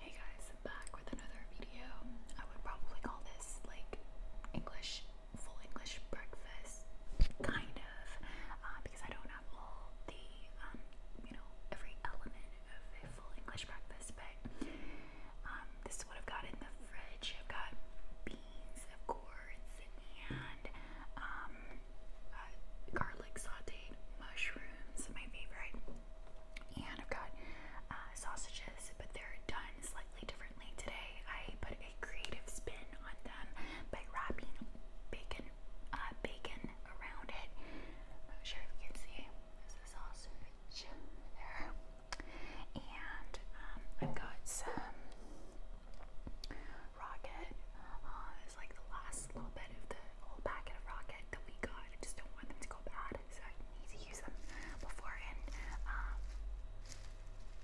Hey guys, i back with another video. I would probably call this like English, full English breakfast, kind of, uh, because I don't have all the, um, you know, every element of a full English breakfast, but um, this is what I've got in the fridge. I've got beans, of and um, uh, garlic sauteed mushrooms, my favorite. And I've got uh, sausages, but they're done slightly differently today. I put a creative spin on them by wrapping bacon, uh, bacon around it. I'm not sure if you can see. There's a sausage there, and um, I've got some rocket. it's like the last little bit of the whole packet of rocket that, we got. I just don't want them to go bad, so I need to use them before and um,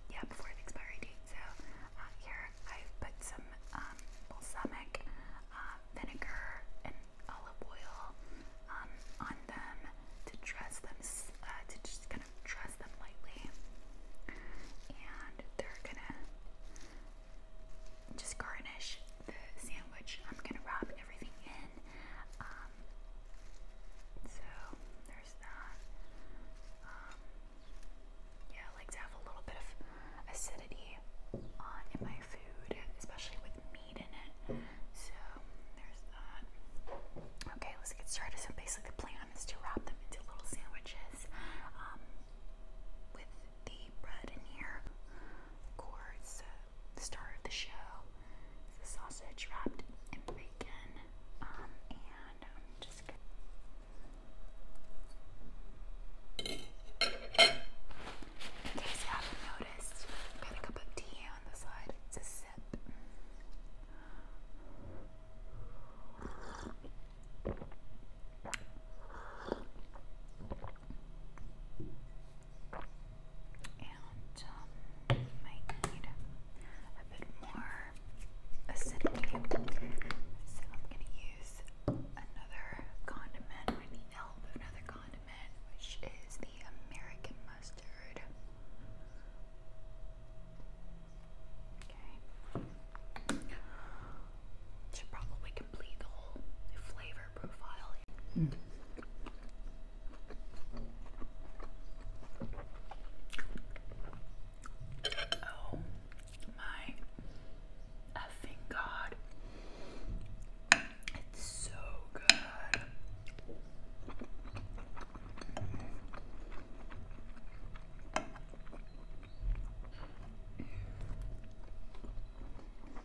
yeah, before the expiry So uh, here I've put some um, balsamic uh, vinegar and olive oil um, on them to dress them, uh, to just kind of dress them lightly, and they're gonna just garnish the sandwich. I'm gonna wrap everything in. Um, so there's that. Um, yeah, like to have a little bit of acidity on uh, in my food, especially with meat in it. So there's that. Okay, let's get started. So basically, the plan is to wrap them into little sandwiches um, with the bread in here. Of course, uh, the star of the show is the sausage wrapped in bacon. Um, and I'm um, just gonna. In case not noticed, got a cup of tea on the side. It's sip. And um, might need a bit more acidity. So I'm going to use another condiment. I need help with another condiment, which is the American mustard. Okay should probably complete the whole flavor profile. Mm. Oh my effing god. It's so good.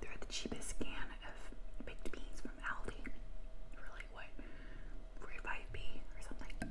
They're cheapest can of baked beans from Aldi. Really, what? 45 or something.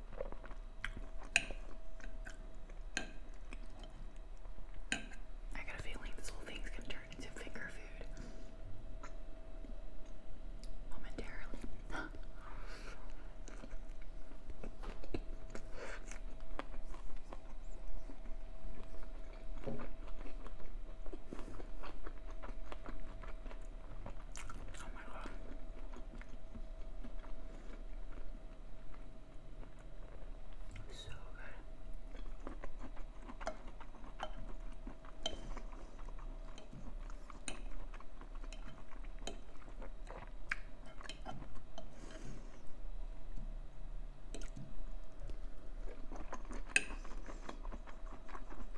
I got a feeling this whole thing's gonna turn into finger food. Momentarily. Oh my god. So good.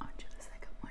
On to the second one.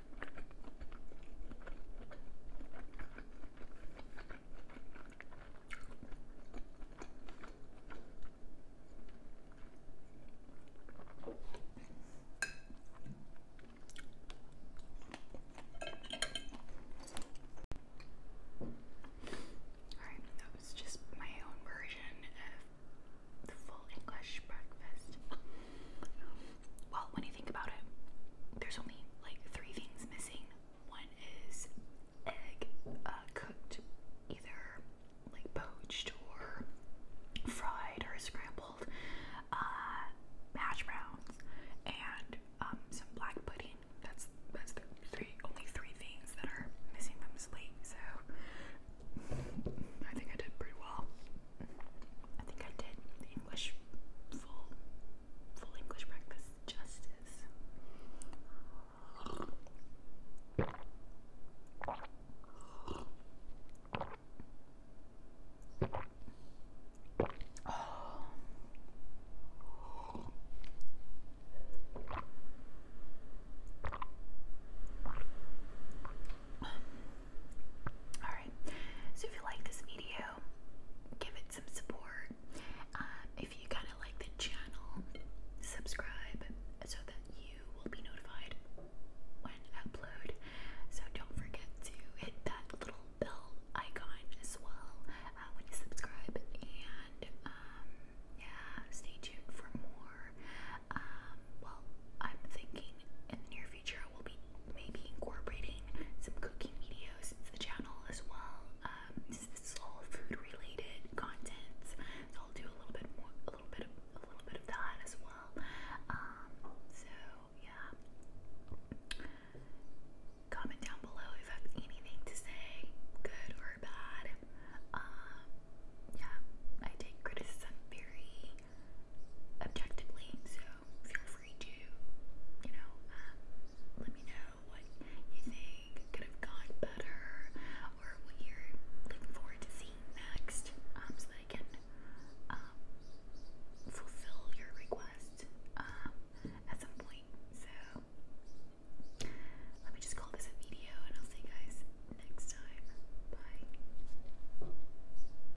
Alright, that was just my own version of the full English breakfast. Well, when you think about it, there's only like three things missing. One is egg uh, cooked, either like poached or fried or scrambled, uh, browns, and um, some black pudding. That's that's the three only three things that are missing from the So I think I did pretty well. I think I did the English full full English breakfast justice. Alright, so if you like this video, give it some support. Um, if you kind of like the channel, subscribe so that you will be notified when I upload. So don't forget to hit that little bell icon as well uh, when you subscribe. And um, yeah, stay tuned for more. Um, well, I'm thinking in the near future I will be maybe incorporating some cooking videos into the channel as well. Um, this is all food related content, so I'll do a little bit more, a little bit of, a little bit of that as well. Um, so yeah. Comment down below if you have anything to say, good or bad. Um, yeah, I take criticism very objectively. So feel free to, you know, um, let me know what you think could have gone better or what you're looking forward to seeing next um, so I can um, fulfill your request um, at some point. So let me just call this a video and I'll see you guys next time. Bye.